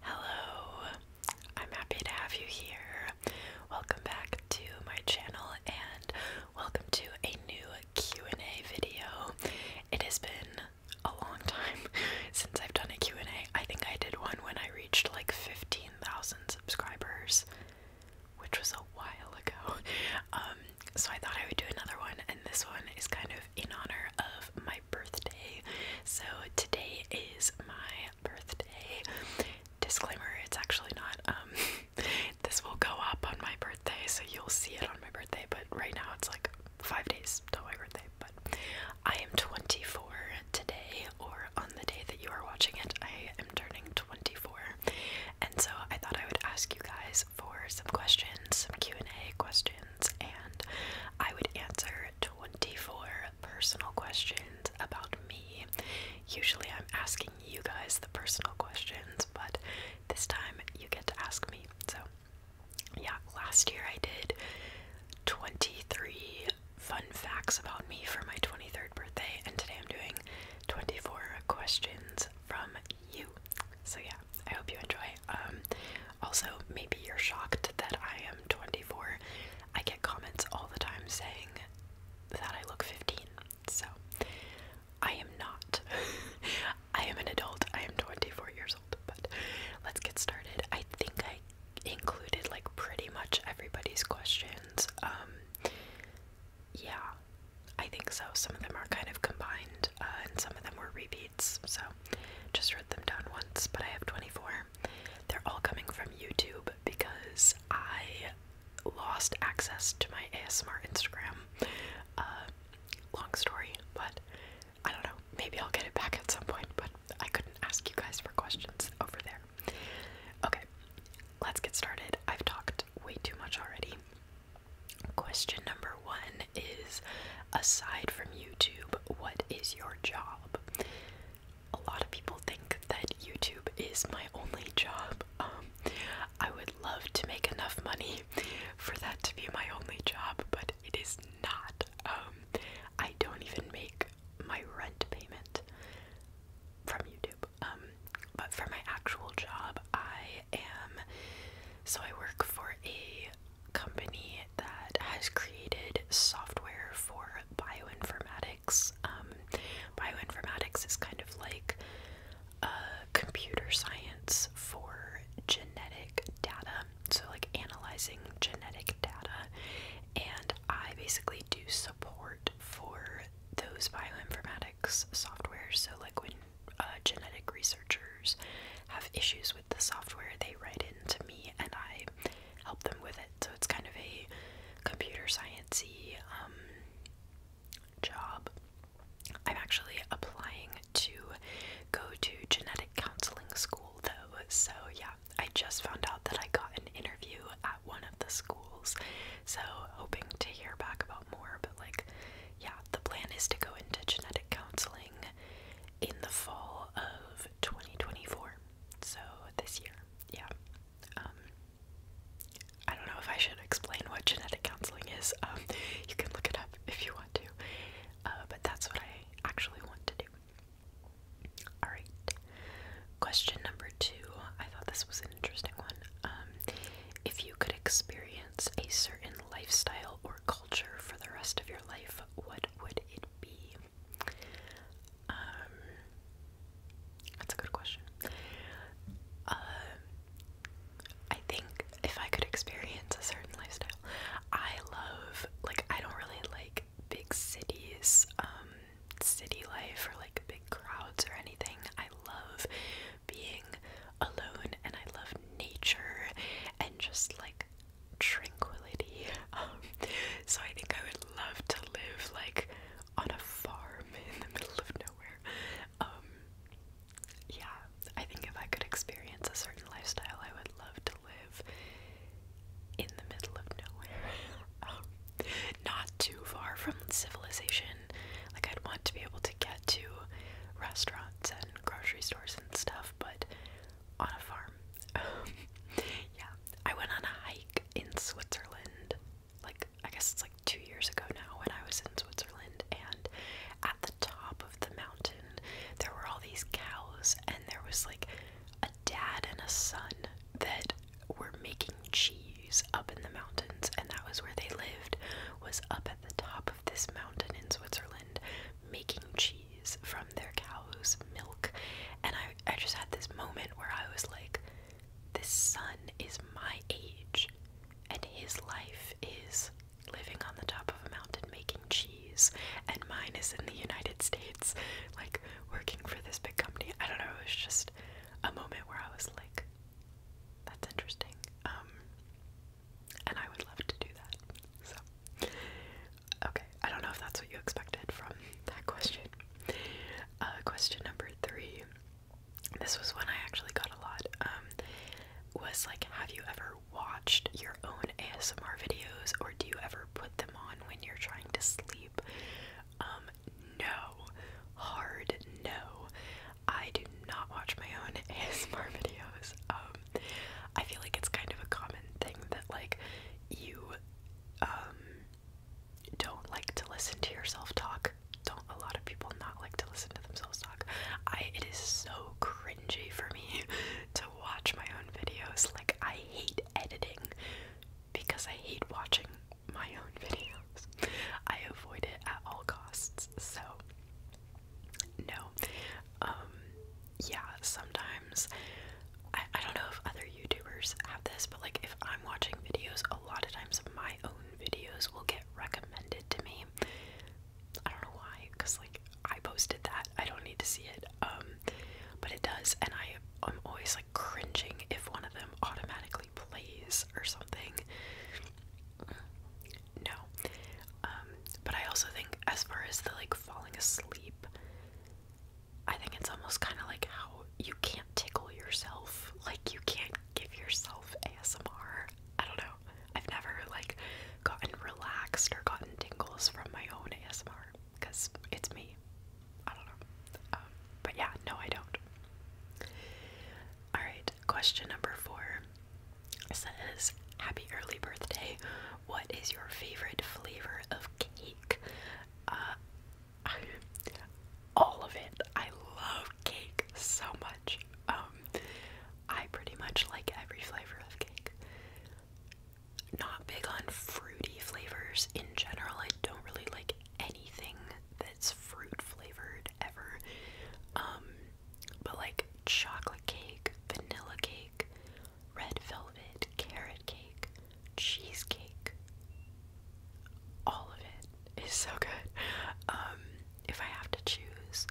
Hello, I'm happy to have you here. Welcome back to my channel and welcome to a new Q&A video. It has been a long time since I've done a Q&A. I think I did one when I reached like 15,000 subscribers, which was a while ago. Um, so I thought I would do another one and this one is kind of in honor of my birthday. So today is my birthday. Disclaimer, it's actually not um this will go up on my birthday, so you'll see it on my birthday, but right now it's like 5 days to my birthday, but I am 24 today or on the day that you are watching it, I am turning 24. And so I thought I would ask you guys for some questions, some Q&A questions, and I would answer 24 personal questions about me. Usually I'm asking you guys the personal questions, but this time you get to ask me. So, yeah, last year I did 23 fun facts about me for my 23rd birthday, and today I'm doing 24 questions from you. So, yeah, I hope you enjoy. Um, also, maybe you're shocked that I am 24. I get comments all the time saying that I look 15. So, I am not. I am an adult. I am 24 years old. But let's get started. I think I included like pretty much everybody's questions. Um, yeah, I think so. Some of them are kind of combined, uh, and some of them were repeats. So, just them down once, but I have 24. They're all coming from YouTube because I lost access to my ASMR Instagram. Uh, long story, but I don't know. Maybe I'll get it back at some point, but I couldn't ask you guys for questions over there. Okay, let's get started. I've talked way too much already. Question number one is Aside from YouTube, what is your job? job. A lot of people think that YouTube is my only job. Um, I would love to make enough money for that to be my only job, but it is not. Um, I don't even make my rent payment from YouTube. Um, but for my actual job, I am. So I work for a company that has created software for bioinformatics. Um, bioinformatics is kind of like uh, computer science for genetic data, so like analyzing genetic data. And I basically do support for those bioinformatics software. So like when uh, genetic researchers have issues with the software, they write into me and I help them with it. So it's kind of a computer sciencey um, job. I'm actually applying to go to genetic counseling school though, so yeah, I just found out that I got an interview at one of the schools, so hoping to hear back about more. But like, yeah, the plan is to go into genetic counseling in the fall of 2024. So this year, yeah. Um, I don't know if I should explain what genetic counseling is. Um, you can look it up if you want to, uh, but that's what I actually want to do. Alright, question number two. I thought this was an interesting one. Um, if you could experience a certain lifestyle or culture for the rest of your life, what would it be? Um, that's a good question. Uh, I think if I could experience a certain lifestyle, I love, like, I don't really like big cities, um, city life or like big crowds or anything. I love being alone and I love nature and just like tranquility. Um, so I think I would love to live like on a farm in the middle of nowhere. Um, yeah, I think if I could experience a certain lifestyle, I would love to live in the middle of nowhere. Um, not too far from civilization. Like, I'd want to be able to get to restaurants and grocery stores and stuff, but on a farm. yeah, I went on a hike in Switzerland. Like I guess it's like two years ago now when I was in Switzerland, and at the top of the mountain there were all these cows, and there was like a dad and a son that were making cheese up in the mountains, and that was where they lived. Was up at the top of this mountain in Switzerland, making cheese from their cow's milk. And I, I just had this moment where I was like, this son is my age, and his life is living on the top of a mountain making cheese, and mine is in the United States, like working for this big company. I don't know, it was just a moment where I was like, that's interesting. Um, and I would love to do that. So, okay, I don't know if that's what you expected from that question. Uh, question number three. This was one I actually got a lot. Um, was like, have you ever watched your own ASMR videos, or do you ever put them on when you're trying to sleep? Um, no, hard no. I do not watch my own ASMR videos. Um, I feel like it's kind of a common thing that like you um, don't like to listen to yourself talk. Don't a lot of people not like to listen to themselves talk. I it is so cringy for me to watch my own videos. Like I hate editing because I hate watching my own videos. I avoid it at all costs. So no. Um, yeah, sometimes I, I don't know if other YouTubers have this, but like if I'm watching videos, a lot of times my own videos will get recommended to me. I don't know why, because like I posted that. I don't need to see it. Um, but it does, and I am always like cringing if one of them automatically plays or something. No. Um, but I also think, as far as the like falling asleep, I think it's almost kind of like how you can't tickle yourself. Like, you can't give yourself ASMR. I don't know. I've never like gotten relaxed or gotten tingles from my own ASMR because it's me. I don't know. Um, but yeah, no, I don't. Alright, question number four says, Happy early birthday. What is your favorite flavor of cake? I, uh, all of it. I love cake so much. Um, I pretty much like every flavor of cake. Not big on fruity flavors in general. I don't really like anything that's fruit flavored ever. Um, but like chocolate cake, vanilla cake, red velvet, carrot cake, cheesecake. All of it is so good. Um, if I have to choose,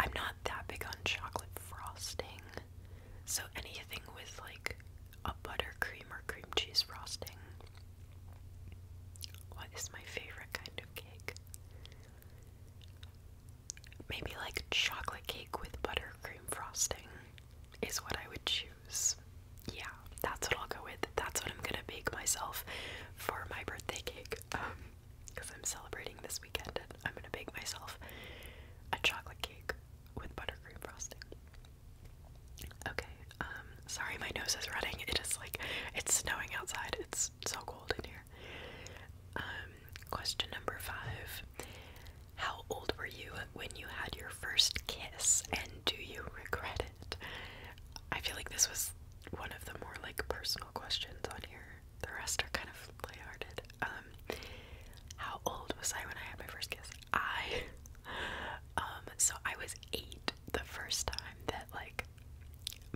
I'm not that big on chocolate frosting. So anything with like a buttercream or cream cheese frosting. What is my favorite kind of cake? Maybe like chocolate cake with buttercream frosting is what I would choose. Yeah, that's what I'll go with. That's what I'm gonna bake myself for my birthday cake. Because um, I'm celebrating this weekend and I'm gonna bake myself a chocolate cake with buttercream frosting. Okay, um, sorry my nose is running. It is like, it's snowing outside. It's so cold in here. Um, question number five How old were you when you had your first kiss, and do you regret it? I feel like this was one of the more like personal questions on here. The rest are kind of lighthearted. Um, how old was I when I had my first kiss? I, um, so I was eight the first time that like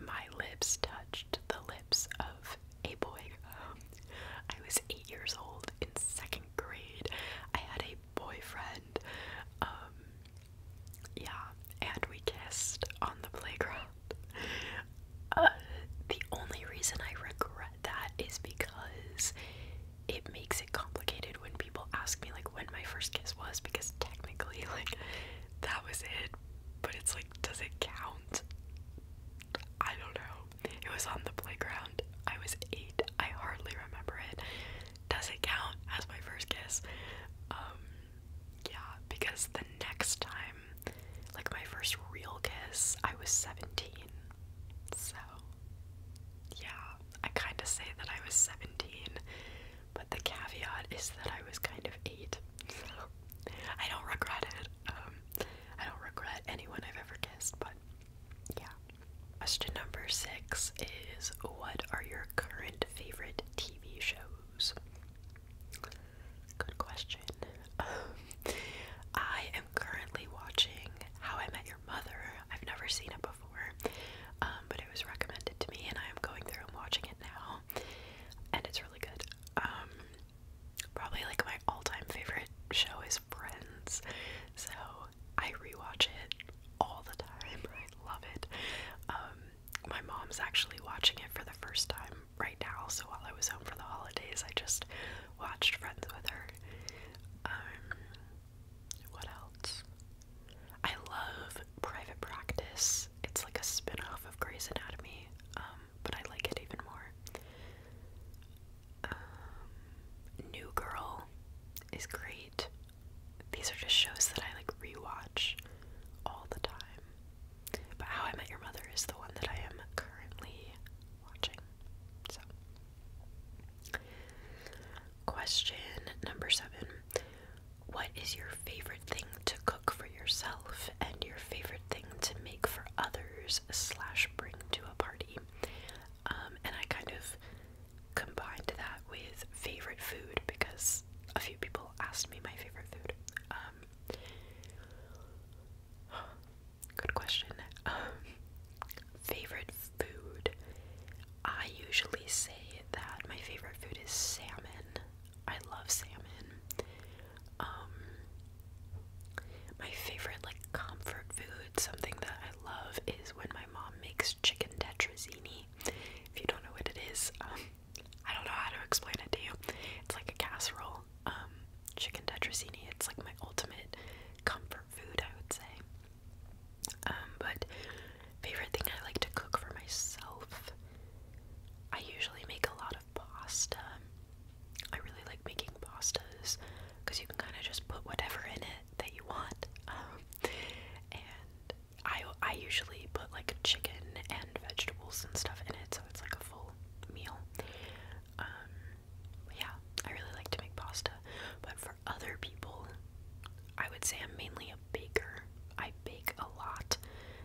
my lips touched the lips of a boy. I was eight years old in second grade. I had a boyfriend. Um, yeah, and we kissed on the playground. Uh, the only reason I regret that is because it makes it complicated when people ask me like when my first kiss was because technically like that was it but it's like, does it count? I don't know. It was on the playground. I was eight. I hardly remember it. Does it count as my first kiss? Um, yeah, because the next time, like my first real kiss, I was 17. So, yeah, I kind of say that I was 17, but the caveat is that I was kind of 8. So, I don't regret it. Um, I don't regret anyone I've ever kissed, but yeah. Question number six is What are your current favorite TV shows? Good question. I am currently watching How I Met Your Mother. I've never seen it before, um, but it was recommended to me, and I am going through and watching it now, and it's really good. Um, probably like my all-time favorite show is Friends. So I rewatch it all the time. I love it. Um, my mom's actually watching it for the first time right now. So while I was home for the holidays, I just watched Friends with her. Um, what else? I love Private Practice. It's like a spin-off of Grey's Anatomy. Um, um, but I like it even more. Um, New Girl is great. These are just shows that I like rewatch all the time. But How I Met Your Mother is the one that I am currently watching. So, question number seven What is your favorite thing to cook? for yourself and your favorite thing to make for others slash bring to a party. Um, and I kind of combined that with favorite food because a few people asked me my favorite food. Um, good question. Um, favorite food. I usually say that my favorite food is salmon. I love salmon. Um, my favorite like comfort food, something that I love is when my mom makes chicken tetrazzini. If you don't know what it is, um, I don't know how to explain it to you. It's like a casserole. Um, chicken tetrazzini, it's like my ultimate comfort food, I would say. but favorite thing I like to cook for myself I usually make a lot of pasta. I really like making pastas because you can kind of just put whatever in it that you want. Um, and I, I usually put like chicken and vegetables and stuff in it, so it's like a full meal. Um, yeah, I really like to make pasta, but for other people, I would say I'm mainly a baker. I bake a lot,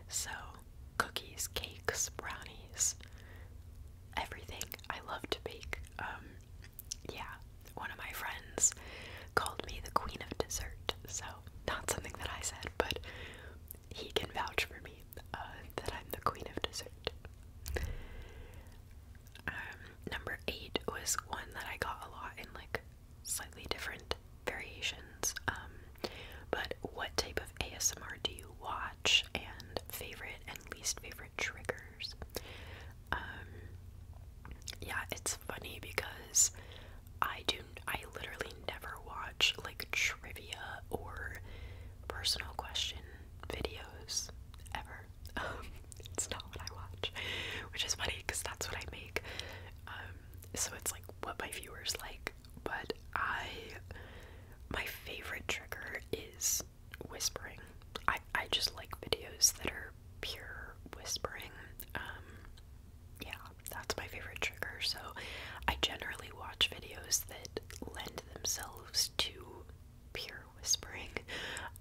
so cookies, cakes, brownies, everything. I love to bake. Um, yeah, one of my friends called me the queen of dessert, so not something that I said, but he can vouch for me uh, that I'm the queen of dessert. Um, number eight was one that I got a lot in like slightly different variations. Um, but what type of ASMR do you watch and favorite and least favorite triggers? Um, yeah, it's funny because I do, I literally never watch like trivia or personal question videos ever. Um, it's not what I watch, which is funny because that's what I make. Um, so it's like what my viewers like but I my favorite trigger is whispering. I I just like videos that are pure whispering. Um yeah, that's my favorite trigger. So I generally watch videos that lend themselves to pure whispering.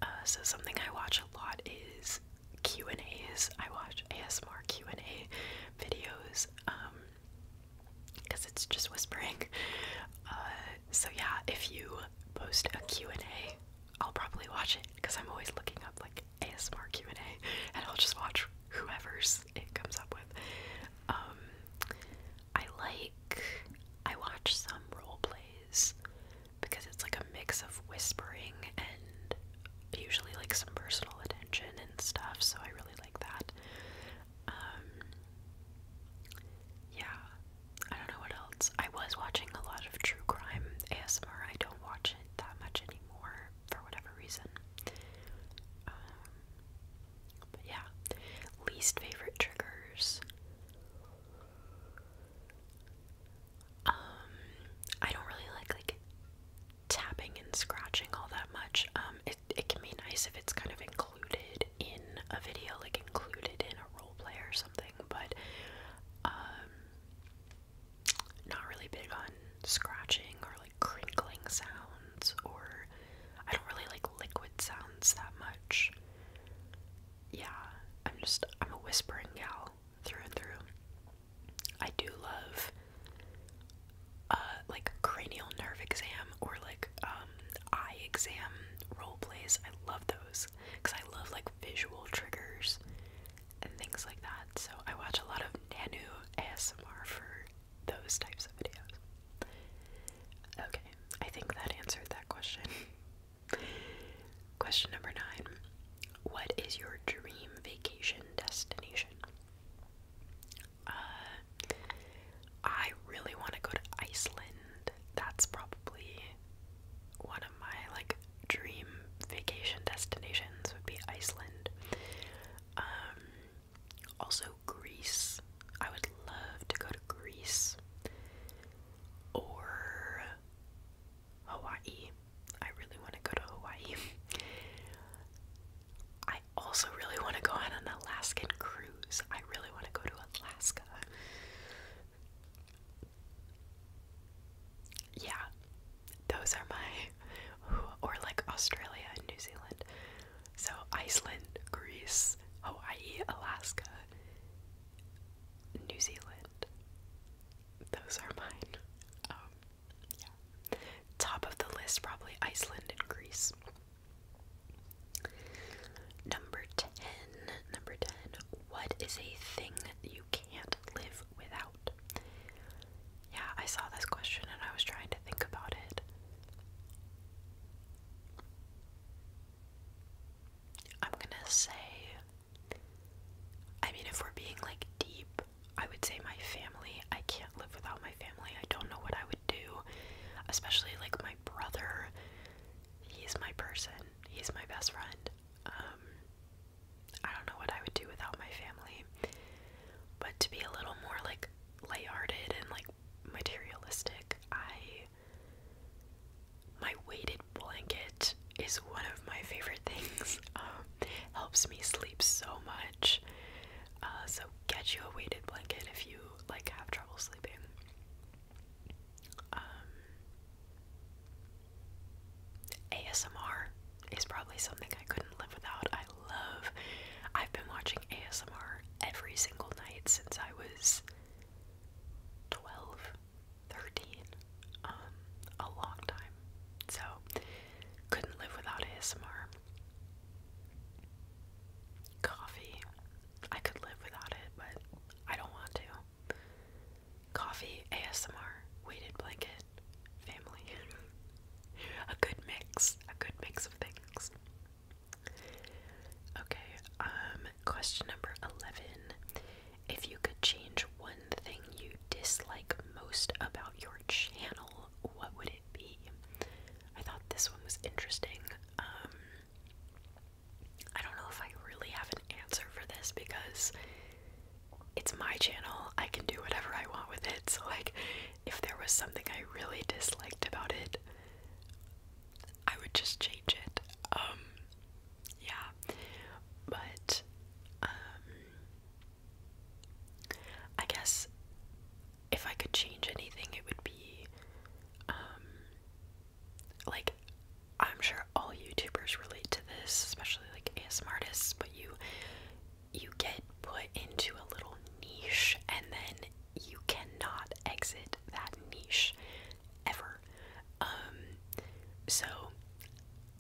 Uh, so something I watch a lot is Q and A's. I watch ASMR Q and A videos. Um, because it's just whispering. Uh, so yeah, if you post a Q&A, I'll probably watch it because I'm always looking up like ASMR Q&A and I'll just watch whoever's it comes up with. Um, I like, I watch some role plays because it's like a mix of whispering and usually like some personal attention and stuff so I really like like that. Um, yeah, I don't know what else. I was watching a lot of true crime ASMR. I don't watch it that much anymore for whatever reason. Um, but yeah, least favorite triggers. Um, I don't really like like tapping and scratching all that much. Um, it, it can be nice if it's kind of included in a video, like included in a role play or something, but um, not really big on scratching or like crinkling sounds, or I don't really like liquid sounds that much. Yeah, I'm just, I'm a whispering gal through and through. I do love uh like cranial nerve exam or like um, eye exam role plays. I love those cuz I love like visual triggers and things like that. So I watch a lot of Nanu ASMR for those types of videos. Okay, I think that answered that question. question number 9. What is your dream vacation destination? Uh, I really want to go to Iceland. That's probably one of my like dream vacation destinations would be Iceland. Um, also Greece. I would love to go to Greece or Hawaii. I really want to go to Hawaii. I also really want to go on an Alaskan cruise. I really want to go to Alaska. Yeah, those are my. Or like Australia and New Zealand. So Iceland, Greece, Hawaii, Alaska, New Zealand. Those are mine. Um, Top of the list, probably Iceland and Greece. Number 10. Number 10. What is a thing you can't live without? Yeah, I saw this question and I was trying to think about it. I'm gonna say. I mean, if we're being like deep, I would say my family. I can't live without my family. I don't know what I would do, especially like my brother. He's my person. He's my best friend. Um, I don't know what I would do without my family. But to be a little more like lighthearted and like materialistic, I my weighted blanket is one of my favorite things. Um, helps me sleep so much. Uh, so get you a weighted blanket if you like have trouble sleeping. Um, ASMR is probably something I couldn't live without. I love. I've been watching ASMR every single night since I was 12, um, a long time. So couldn't live without ASMR. Coffee. I could live without it, but I don't want to. Coffee, ASMR, weighted blanket, family. a good mix. A good mix of things. Okay, um, question number 11. If you could change one thing you dislike most about your channel, what would it be? I thought this one was interesting. Um, I don't know if I really have an answer for this because it's my channel. I can do whatever I want with it. So, like, if there was something I really disliked about it, I would just change it. Um, yeah. But, um, I guess if I could change anything, it would be um, like I'm sure all YouTubers relate to this, especially like ASM artists, but you you get put into a little niche and then you cannot exit that niche ever. Um, so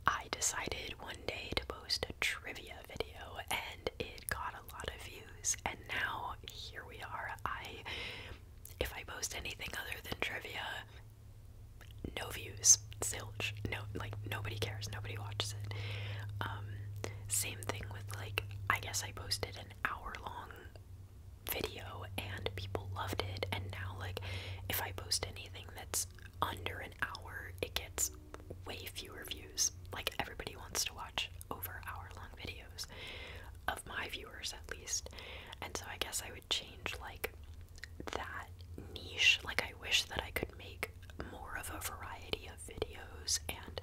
I decided one day to post a trivia video and it got a lot of views and now here we are. I if I post anything other than trivia, no views, silch. No like nobody cares, nobody watches it. Um same thing with like I guess I posted an hour long video and people loved it and now like if I post anything that's under an hour it gets way fewer views. Like, everybody wants to watch over hour long videos, of my viewers at least. And so I guess I would change, like, that niche. Like, I wish that I could make more of a variety of videos, and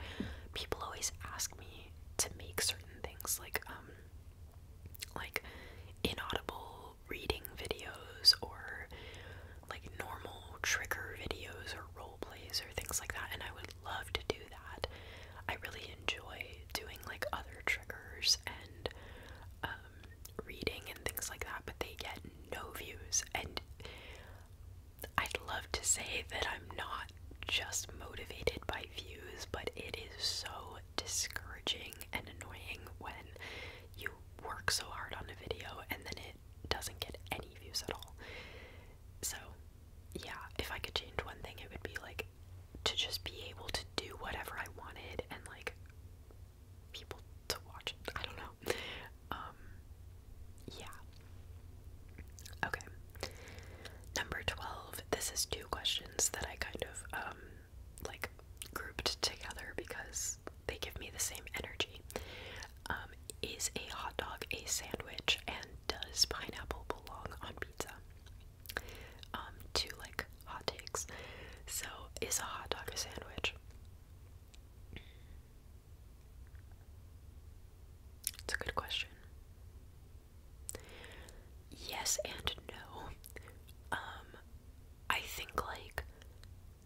people always ask me to make certain things, like, um, like inaudible reading videos or like normal trigger videos or role plays or things like that and I would love to do that. I really enjoy doing like other triggers and um, reading and things like that, but they get no views and I'd love to say that I'm not just motivated by views, but it is so discouraging and annoying when you work so hard on a video and then it doesn't get any views at all. So, yeah, if I could change one thing, it would be like to just be able to do whatever I wanted and like people to watch it. I don't know. Um, yeah. Okay. Number 12. This is two questions that I kind of, um, like grouped together because they give me the same energy. Um, is a hot dog a sandwich, and does pineapple belong on pizza? Um, to like hot takes. So, is a hot dog a sandwich? It's a good question. Yes and no. Um, I think like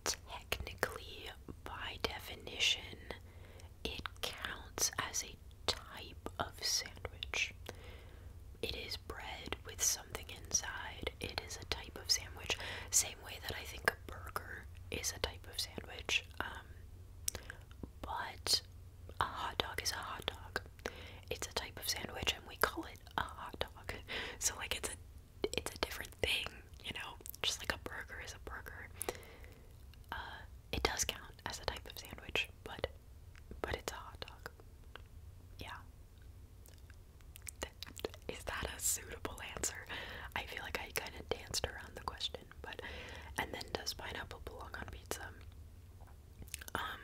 technically, by definition, it counts as a type of sandwich. It is bread with something inside. It is a type of sandwich. Same way that I think a burger is a type of sandwich. Um, but a hot dog is a hot dog. It's a type of sandwich and we call it a hot dog. So, like, it's a it's a different thing, you know, just like a burger is a burger. Uh, it does count as a type of sandwich, but but it's a hot dog. Yeah. is that a suitable answer? I feel like I kind of danced around the question, but and then does pineapple belong on pizza? Um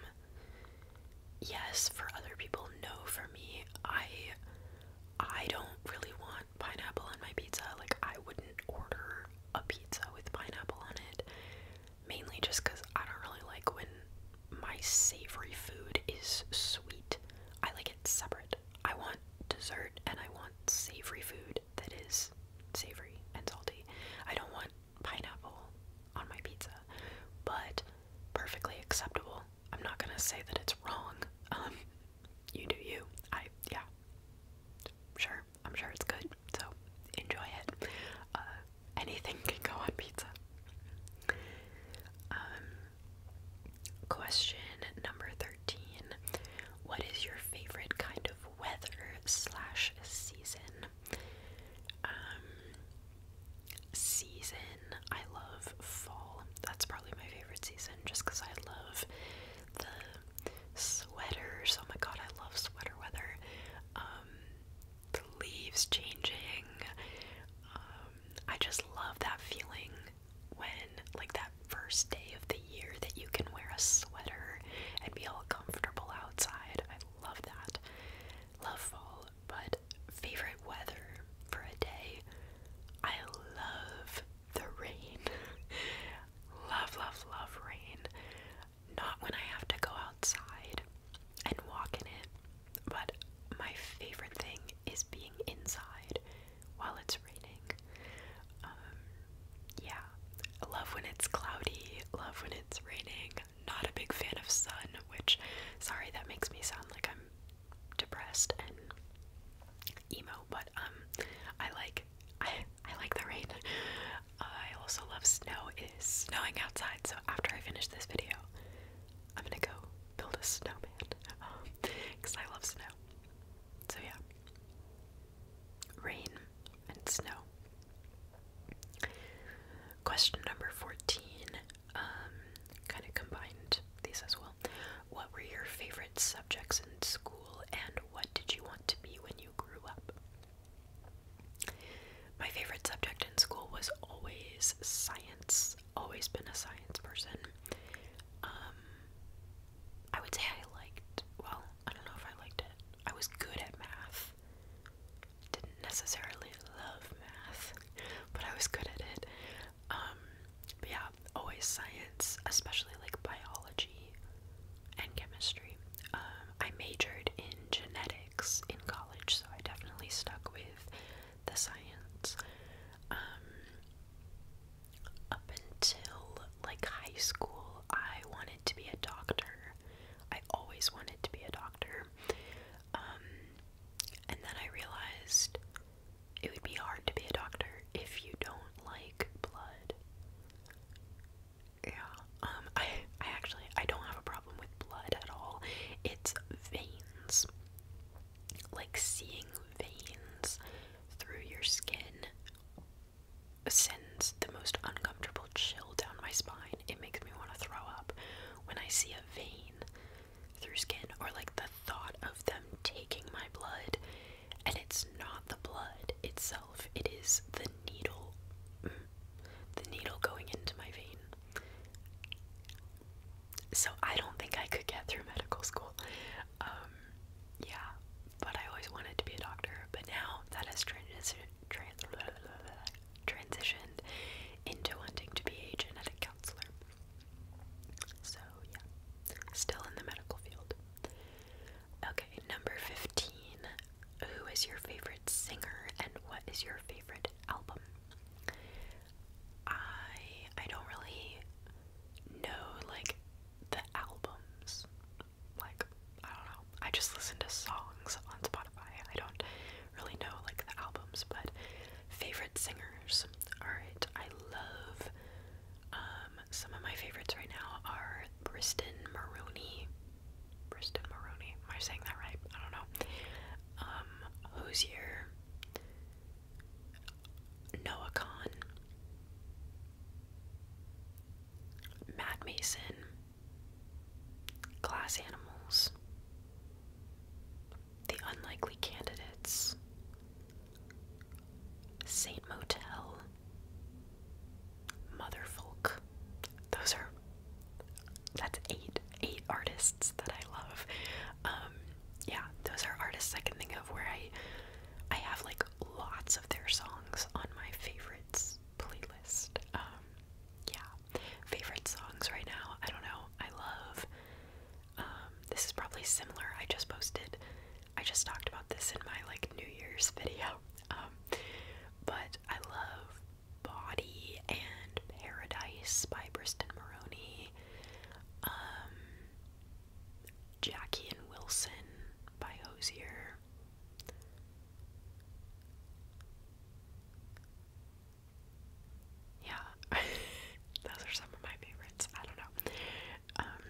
yes for other people, no for me. I I don't really want pineapple on my pizza. Like, I wouldn't order a pizza with pineapple on it. Mainly just because I don't really like when my savory food is sweet. I like it separate. I want dessert and I want savory food that is savory and salty. I don't want pineapple on my pizza, but perfectly acceptable I'm not gonna say that it's wrong. Um, you do you. I yeah. Sure, I'm sure it's good. So enjoy it. Uh, anything can go on pizza. Um, question number thirteen: What is your favorite kind of weather slash season? Um, season. I love fall. That's probably my favorite season just because I love the sweaters. Oh my god, I love sweater weather. Um, the leaves changing. Um, I just love that feeling when, like, that first day of the year that you can wear a sweater and be all comfortable outside. I love that. Love fall, but favorite weather for a day. I love the rain. love, love, love rain. Not when I have to go outside and walk in it, but my favorite thing is being inside while it's raining. Um, yeah, love when it's cloudy, love when it's raining. Not a big fan of sun, which, sorry, that makes me sound like I'm depressed and emo, but um, I like I I like the rain. I also love snow. It is snowing outside, so after I finish this video, I'm gonna go build a snowman because um, I love snow. So yeah, rain and snow. Question number fourteen: um, kind of combined these as well. What were your favorite subjects in school, and what did you want to be when you grew up? My favorite subject in school was always science. Always been a science person. Um, I would say I liked, well, I don't know if I liked it. I was good at math. Didn't necessarily love math, but I was good at it. Um, but yeah, always science, especially like biology and chemistry. Um, I majored in genetics in college, so I definitely stuck with the science. Um, up until like high school, I wanted to be a doctor. I always wanted to be a doctor. Um, and then I realized it would be hard to be a doctor if you don't like blood. Yeah. Um, I I actually I don't have a problem with blood at all. It's veins. Like seeing veins through your skin sends the most uncomfortable chill down my spine. It makes me want to throw up when I see a vein through skin or like the thought of them taking my blood and it's not the blood itself it is the needle mm. the needle going into my vein so i don't think i could get through medical school um, yeah but i always wanted to be a doctor but now that has transitioned transitioned into wanting to be a genetic counselor so, yeah, still in the medical field. Okay, number 15. Who is your favorite singer and what is your favorite album? I I don't really know like the albums. Like, I don't know. I just listen to songs on Spotify. I don't really know like the albums, but favorite singers. Alright, I love um, some of my favorites right now are Briston Maroney. Briston Maroney. Am I saying that right? I don't know. Who's um, here? Noah Khan, Matt Mason, Glass Animals, the Unlikely Candidates, Saint Motel, Motherfolk. Those are that's eight eight artists that I love. Um, yeah, those are artists I can think of where I I have like lots of their songs on my favorites playlist. Um, yeah, Favorite songs right now? I don't know. I love. Um, this is probably similar. I just posted. I just talked about this in my like New Year's video. Um, but I love Body and Paradise by Briston Maroney. Um, Jackie and Wilson by Hosier. Yeah, those are some of my favorites. I don't know. Um,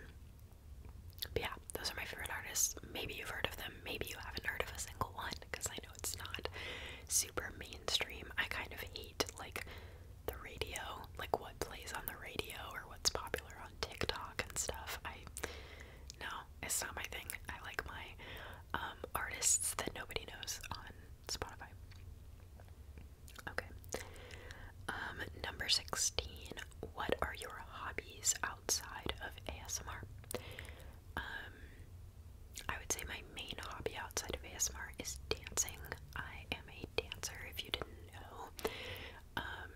yeah, those are my favorite artists. Maybe you've heard of them. Maybe you haven't heard of a single one because I know it's not super mainstream. I kind of hate like the radio, like what plays on the radio or what's popular on TikTok and stuff. I no, it's not my thing. I like my um, artists that nobody knows on Spotify. Okay. Um, number 16. What are your hobbies outside of ASMR? Um, I would say my main hobby outside of ASMR is dancing. I am a dancer, if you didn't know. Um,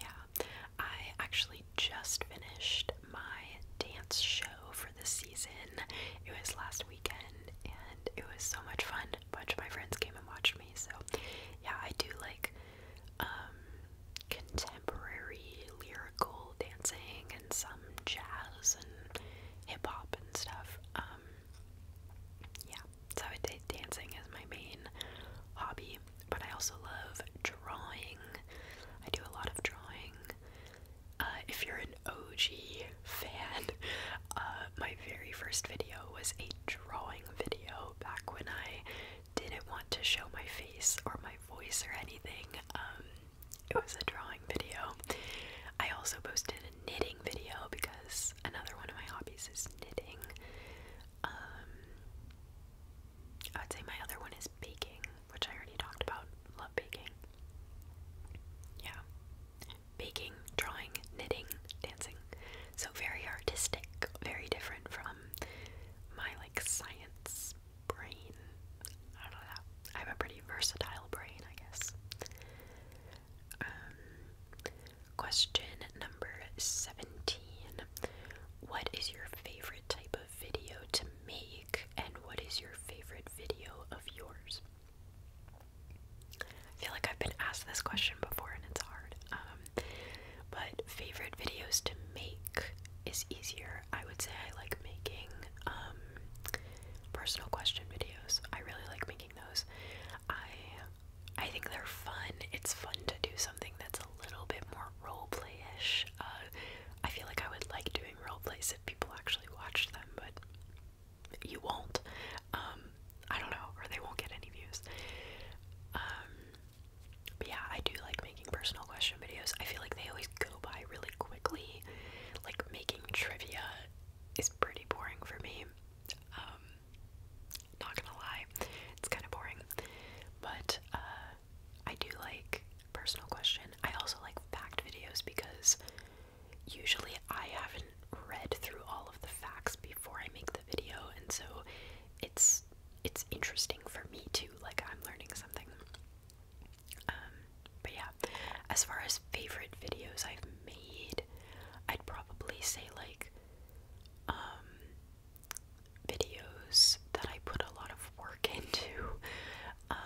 yeah. I actually just finished my dance show for for the season. It was last weekend and it was so much fun. A bunch of my friends came and watched me, so yeah, I do like um, contemporary lyrical dancing and some jazz and hip hop and stuff. Um, yeah, so I dancing is my main hobby, but I also love drawing. I do a lot of drawing uh, if you're an OG fan, uh, my very first video was a drawing video back when I didn't want to show my face or my voice or anything. Um, it was a drawing video. I also posted a knitting video because another one of my hobbies is knitting. Um, I would say my other one is baking which I already talked about. Love baking. Yeah. Baking, drawing, knitting, dancing. So very artistic, very different from my like science brain. I don't know. I have a pretty versatile brain, I guess. Um, question number 17. What is your favorite type of video to make? and what is your favorite video of yours? I feel like I've been asked this question before and it's hard. Um, but favorite videos to make is easier. I would say I like making um, personal question videos. I really like making those. I I think they're fun. It's fun to do something that's a little bit more role play-ish. Uh, I feel like I would like doing role plays if people actually watched them, but you won't. Um, I don't know, or they won't get any views. Um, yeah, I do like making personal question videos. I feel like they always go by really quickly. Like making trivia is pretty boring for me. Um, not gonna lie, it's kind of boring. But uh, I do like personal question. I also like fact videos because usually I haven't read through all of the facts before I make the video, and so it's it's interesting for me too. Like I'm learning something. Um, but yeah, as far as favorite videos I've made, I'd probably say like um, videos that I put a lot of work into. Um,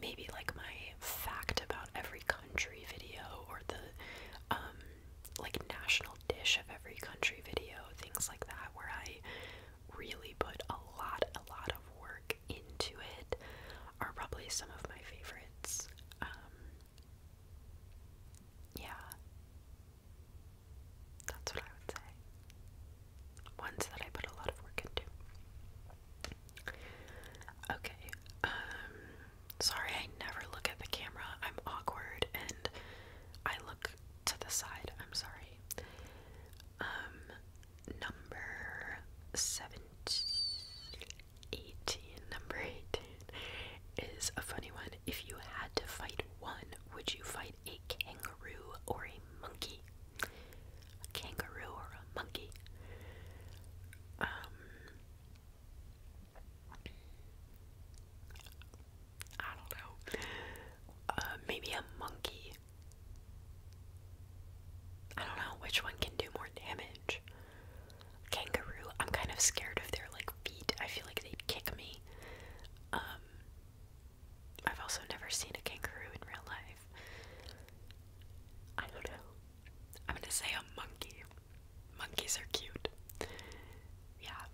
maybe like my fact about every country video or the um like national dish of every country video, things like that where I really put a lot a lot of work into it are probably some of my favorites. Um, yeah. That's what I would say ones that I put a lot of work into. Okay, um, sorry I never look at the camera. I'm awkward and I look to the side. I'm sorry. Um, number 17, 18, number 18 is a funny one. If you had to fight one, would you fight a kangaroo or a monkey? a kangaroo or a monkey. Um, I don't know. Uh, maybe a monkey. I don't know which one can do more damage. Kangaroo. I'm kind of scared of their like feet. I feel like they'd kick me. Um, I've also never seen a kangaroo in real life. I don't know. I'm gonna say a monkey. Monkeys are cute. Yeah.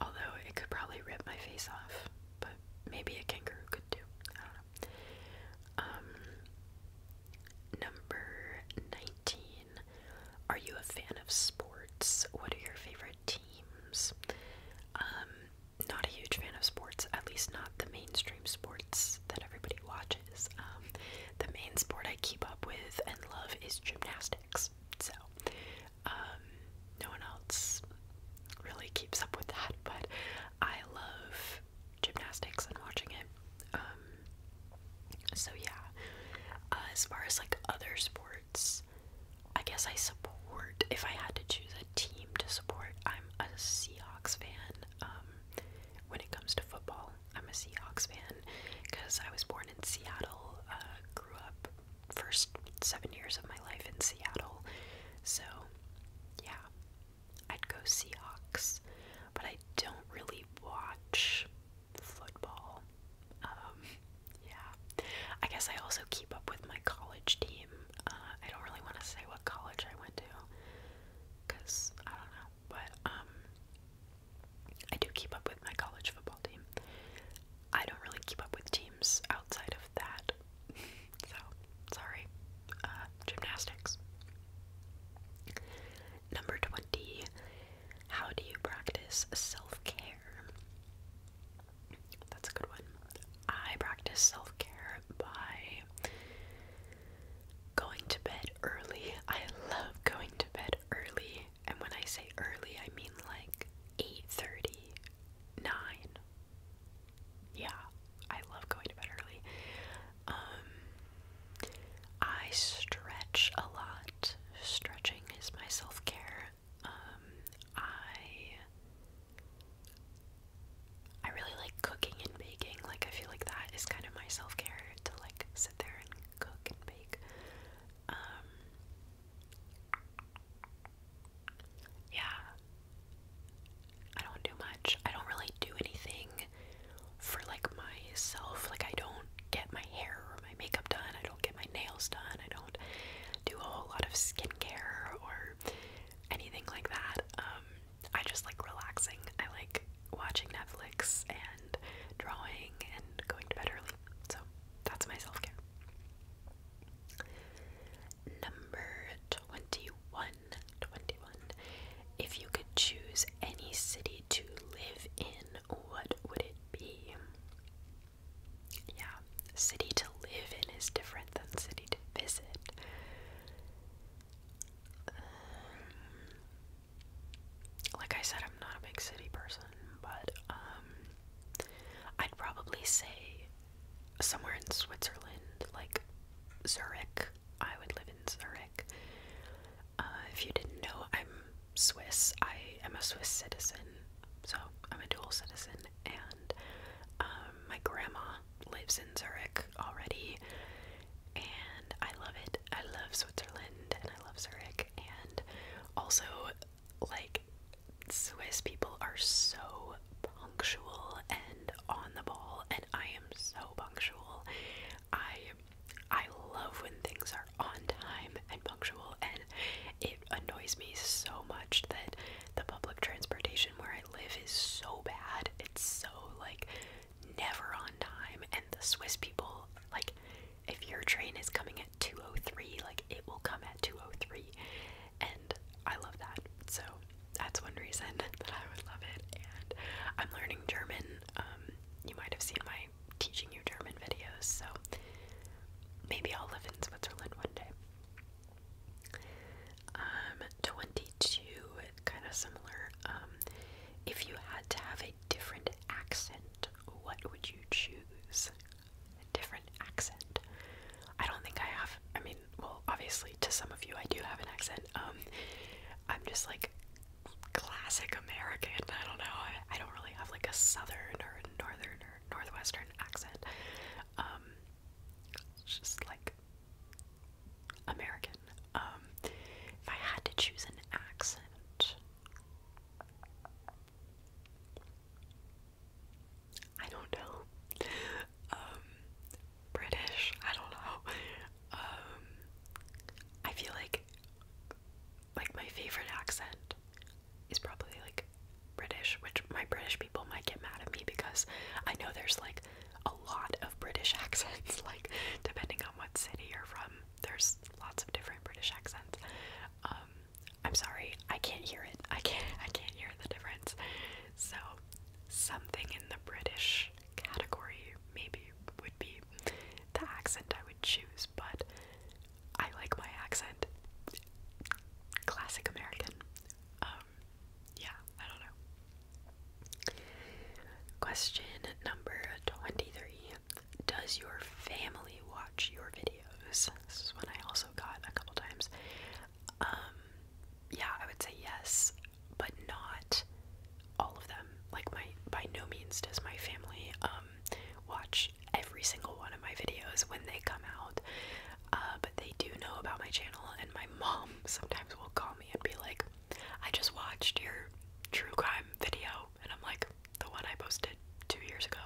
Although it could probably rip my face off, but maybe a kangaroo could too. I do Um number 19. Are you a fan of sports? What are your favorite teams? Um, not a huge fan of sports, at least not the mainstream sports that everybody watches. Um, the main sport I keep up with and love is gymnastics, so um, no one else really keeps up with that, but I love gymnastics and watching it. Um, so, yeah, uh, as far as like other sports, I guess I support, if I had to choose a team to support. I'm a Seahawks fan. Um, when it comes to football, I'm a Seahawks fan because I was born in Seattle, uh, grew up first seven years of my life in Seattle. So, yeah, I'd go Seahawks, but I don't really watch football. Um, yeah, I guess I also keep up with my college team uh, I don't really want to say what college I went to because I don't know, but um, I do keep up with my college football team. I don't really keep up with teams outside of that, so sorry. Uh, gymnastics. Number 20. How do you practice self care? That's a good one. I practice self care by Going to bed early. I love going to bed early. And when I say early, I mean like 8:30, 9. Yeah, I love going to bed early. Um, I stretch a lot. Stretching is my self-care. Um, I I really like cooking and baking. Like, I feel like that is kind of my self care to like sit there and cook and bake. Um, yeah, I don't do much. I don't really do anything for like myself. Like, I don't get my hair or my makeup done. I don't get my nails done. I don't do a whole lot of skincare or anything like that. Um, I just like relaxing. I like watching Netflix and drawing and going to bed early. So that's my self care. Number 21. 21. If you could choose any city to live in, what would it be? Yeah, city to live in is different than city visit. Um, like I said, I'm not a big city person, but um, I'd probably say somewhere in Switzerland, like Zurich. I would live in Zurich. Uh, if you didn't know, I'm Swiss. I am a Swiss citizen, so I'm a dual citizen, and um, my grandma lives in Zurich already, and I love it. I love Switzerland and I love Zurich, and also, like, Swiss people are so punctual and on the ball, and I am so punctual. I I love when things are on time and punctual, and it annoys me so much that the public transportation where I live is so bad. It's so like never on time and the Swiss people like if your train is coming at 203, like it will come at 203. And I love that. So that's one reason that I would love it. And I'm learning German. Um you might have seen my teaching you German videos, so maybe I'll live in Switzerland one day. Um, 22, kind of similar. Um, if you had to have a different accent, what would you choose? A different accent. I don't think I have, I mean, well, obviously, to some of you, I do have an accent. Um, I'm just like classic American. I don't know. I, I don't really have like a southern or northern or northwestern accent. Um, it's just like American. Um, if I had to choose an accent, I don't know. Um, British, I don't know. Um, I feel like like my favorite accent is probably like British, which my British people might get mad at me because I know there's like a lot of British accents, like depending on what city you're from, there's lots of different British accents. Um, I'm sorry, I can't hear it. I can't I can't hear the difference. So something in the British category maybe would be the accent I would choose, but I like my accent. Classic American. Um, um, yeah, I don't know. Question number 23 Does your family watch your videos? This is one I also got a couple times. Um, yeah, I would say yes, but not all of them. Like, my by no means does my family um, watch every single one of my videos when they come out. Uh, but they do know about my channel, and my mom sometimes will call me and be like, I just watched your true crime video. And I'm like, the one I posted two years ago.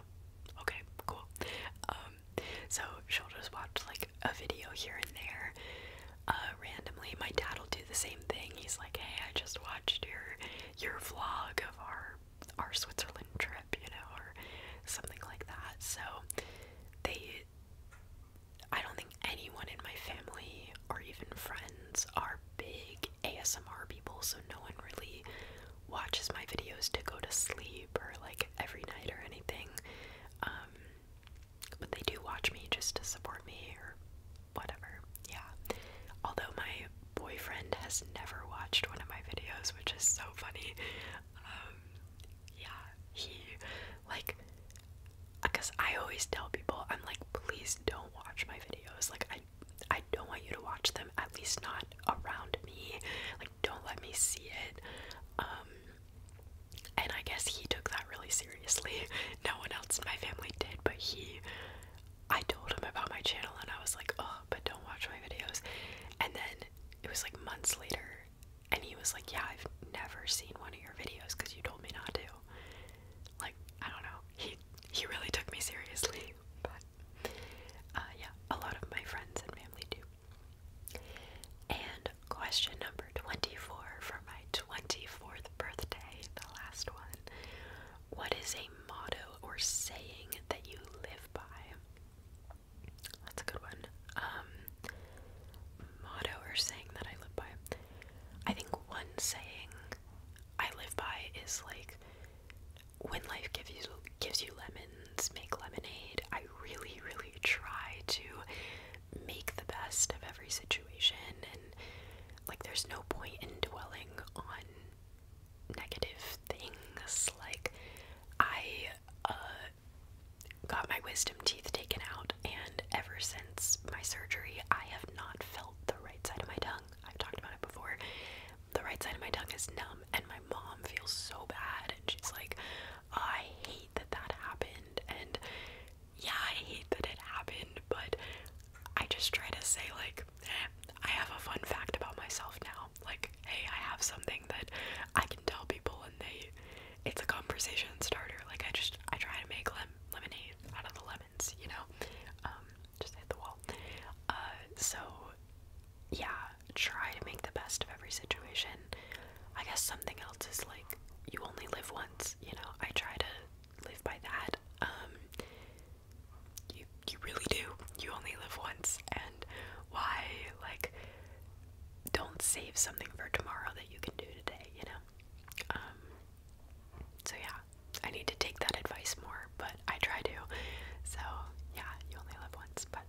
Okay, cool. Um, so she'll just watch like a video here and there uh, randomly. My dad will do the same thing. He's like, hey, I just watched your your vlog of our our Switzerland trip, you know, or something like that. So they I don't think anyone in my family or even friends are big ASMR people, so no one really watches my videos to go to sleep or like every night or anything. Um, but they do watch me just to support me or whatever. Yeah. Although my boyfriend has never watched one of my videos, which is so funny. Um, yeah, he, like, because I always tell people, I'm like, please don't watch my videos. Like, I, I don't want you to watch them, at least not around me. Like, don't let me see it. Um, and I guess he took that really seriously. No one else in my family did, but he, I told him about my channel and I was like, oh, but don't watch my videos. And then it was like months later and he was like, Yeah, I've never seen one of your videos because you told me not to. Like, I don't know. He he really took me seriously. But uh, yeah, a lot of my friends and family do. And question number 24 for my 24th birthday, the last one. What is a motto or saying that you live by? That's a good one. Um, motto or saying that I live by. I think one saying I live by is like, when life gives gives you lemons, make lemonade. I really, really try to make the best of every situation, and like, there's no point in dwelling on negative things. Like, I uh, got my wisdom teeth taken out, and ever since my surgery, I have not felt the right side of my tongue. I've talked about it before. The right side of my tongue is numb, and my mom feels so bad, and she's like, I hate that that happened, and yeah, I hate that it happened, but I just try to say, like, I have a fun fact about myself now. Like, hey, I have something that I can tell people and they it's a conversation starter. Like I just I try to make lemonade out of the lemons, you know? Um, just hit the wall. Uh, so yeah, try to make the best of every situation. I guess something else is like you only live once, you know. I try to live by that. Um, you you really do. You only live once and why like don't save something for tomorrow that you can do today, you know? Um, so yeah, I need to take that advice more, but I try to. So yeah, you only live once, but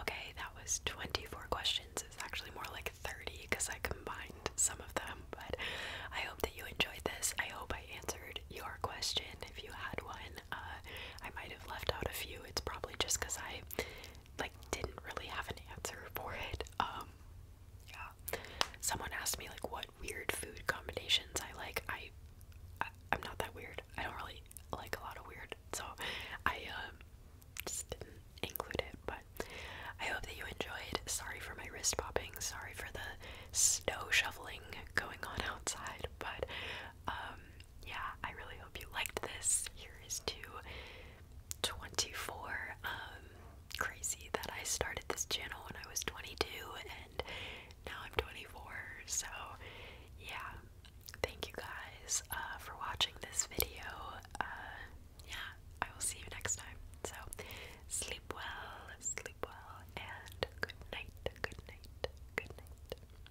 okay, that was 24 questions. It's actually more like 30 because I combined some of them, but I hope that you enjoyed this. I hope I answered your question if you had one. Uh, I might have left out a few. It's probably just because I like didn't really have an answer for it. Um yeah. Someone asked me like what weird food combinations I like. I, I I'm not that weird. I don't really like a lot of weird. So I um just didn't include it, but I hope that you enjoyed. Sorry for my wrist popping. Sorry for the snow shoveling going on outside, but um yeah, I really hope you liked this. Here is to 24. Um, crazy that I started this channel when I was 22 and now I'm 24. So, yeah, thank you guys uh, for watching this video. Uh, yeah, I will see you next time. So, sleep well, sleep well, and good night, good night, good night.